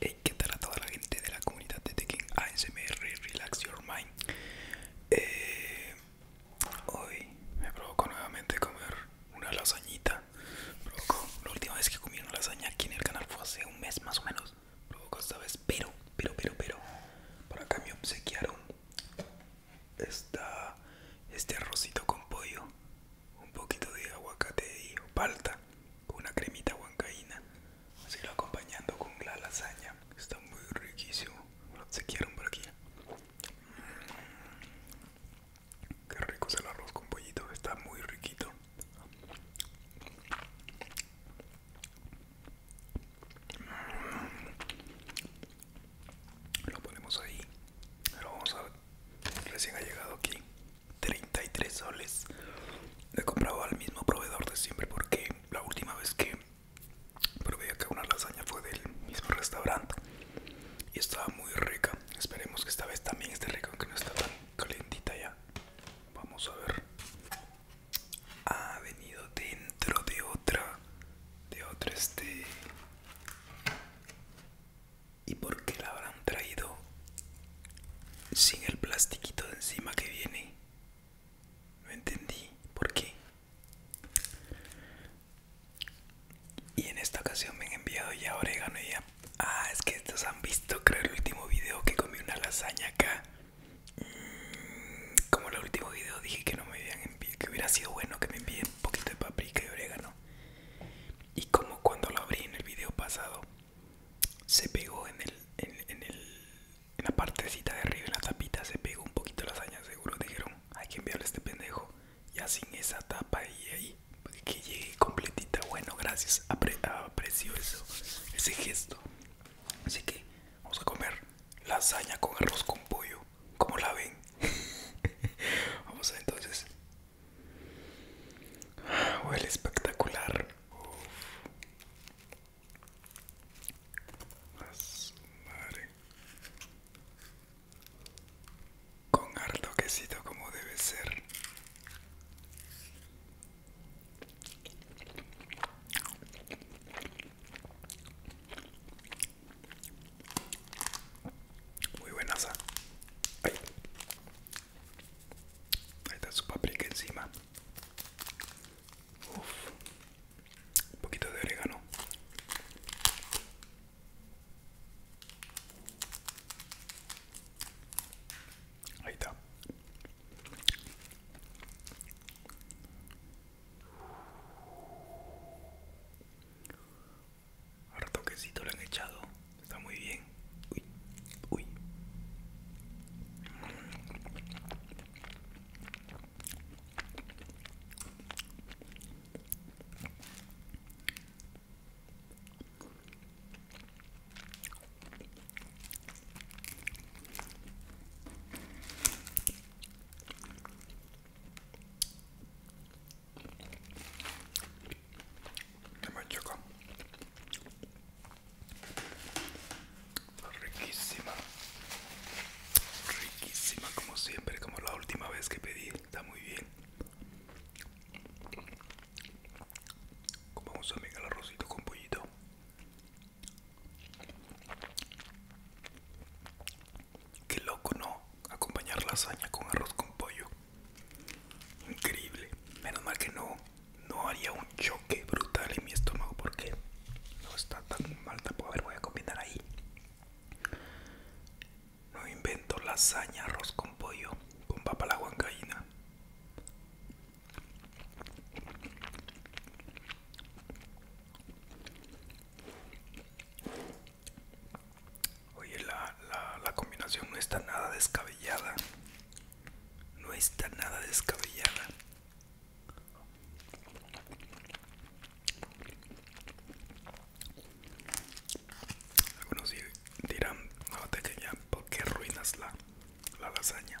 Hey, ¿qué tal a toda la gente de la comunidad de Tekken ASMR Relax Your Mind? Eh, hoy me provocó nuevamente comer una lasañita. la última vez que comí una lasaña aquí en el canal fue hace un mes más o menos. Provocó esta vez, pero, pero, pero, pero, por acá me obsequiaron esta, este arrocito con pollo un poquito de aguacate y palta, una cremita huancaína, así lo acompañando con la lasaña. Está muy riquísimo. Se quieren por aquí. Mm. Qué rico es el arroz con pollito, está muy riquito. Mm. Lo ponemos ahí. Lo vamos a recién ha llegado aquí 33 soles. Lo he comprado al mismo proveedor de siempre porque la última vez que probé acá una lasaña fue del mismo restaurante y estaba muy rica. Esperemos que esta vez también esté rica, aunque no está tan calentita ya. Vamos a ver. Ha venido dentro de otra, de otra este ¿Y por qué la habrán traído sin el plastiquito de encima que viene? No entendí. ¿Por qué? Y en esta ocasión me han enviado ya orégano y ya... Ah, es que estos han visto, creo, el último video que comí una lasaña acá. Mm, como el último video dije que no me habían enviado, que hubiera sido bueno que me envíen un poquito de paprika y orégano y como cuando lo abrí en el video pasado se pegó en el en, la partecita de arriba en la tapita se pegó un poquito la hazañas seguro dijeron hay que enviarle a este pendejo ya sin esa tapa y ahí pues, que llegue completita bueno gracias aprecio ese gesto así que vamos a comer la lasaña con arroz con pollo como la ven vamos a entonces Huele espectacular. Con harto quesito como debe ser. Muy buenaza. Ahí. Ahí está su paprika encima. Un poquito de orégano. Ahí está ahora toquecito le han echado. Está muy bien. Me está Riquísima. Riquísima como siempre, como la última vez que pedí. Está muy bien. Comamos también el arrocito con pollito. Qué loco, ¿no? Acompañar lasaña con arroz con pollo. Increíble. Menos mal que no, no haría un choque brutal en mi estómago porque no está tan mal tampoco. A ver, voy a combinar ahí. No invento lasaña, arroz con pollo, con papa la huancaína. Oye, la, la, combinación no está nada descabellada. No está nada descabellada. Algunos dirán, no te que ya, ¿por qué la, la lasaña?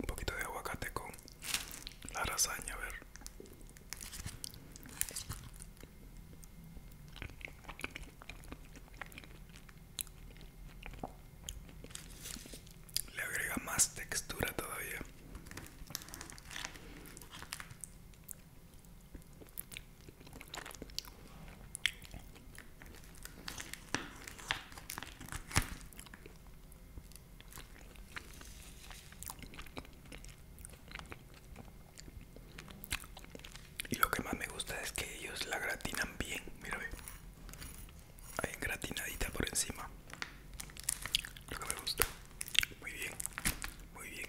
Un poquito de aguacate con la razaña. a ver. Le agrega más textura todavía. Y lo que más me gusta es que ellos la gratinan bien, mira, ahí gratinadita por encima. Lo que me gusta. Muy bien, muy bien.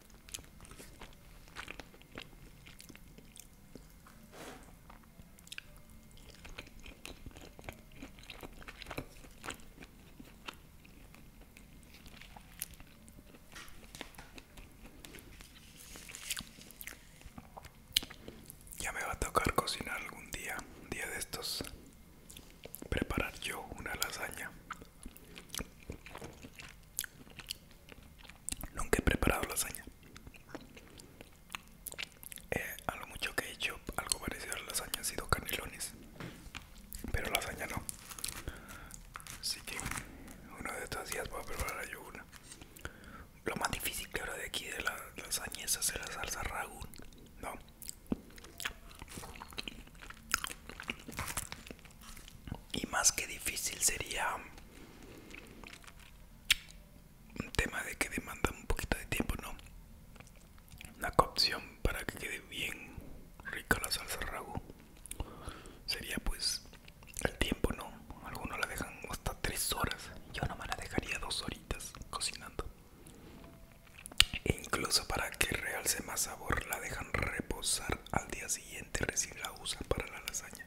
Ya me va a tocar cocinar algún día, un día de estos, preparar yo una lasaña. Nunca he preparado lasaña. Eh, a lo mucho que he hecho algo parecido a lasaña ha sido canelones. Pero lasaña no. Así que uno de estos días voy a preparar yo una. Lo más difícil que ahora de aquí de la lasaña es hacer la salsa ragú. No y más que difícil sería un tema de que demanda un poquito de tiempo, ¿no? Una opción para que quede bien rica la salsa ragu sería pues el tiempo, ¿no? Algunos la dejan hasta tres horas, yo no me la dejaría dos horitas cocinando. E incluso para que realce más sabor la dejan reposar al día siguiente recién la usa para la lasaña.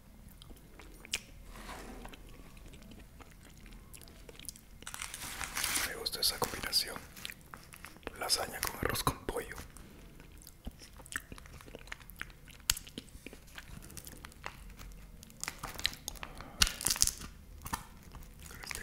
Me gusta esa combinación. Lasaña con arroz con pollo. Este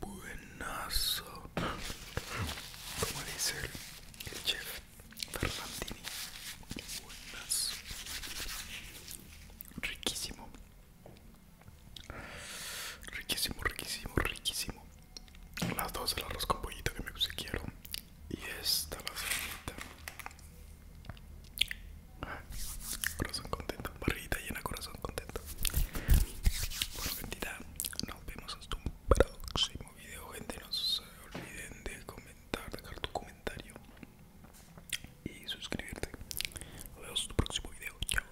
Buenazo. Como dice el, chef Ferrandini. Buenazo. Riquísimo. Riquísimo, riquísimo, riquísimo. Las dos, de arroz con pollito que me quiero Y esta la Corazón contento, barriguita llena, corazón contento. Bueno, gente, nos vemos hasta un próximo video, gente. No se olviden de comentar, dejar tu comentario y suscribirte. Nos vemos en tu próximo video. Chao.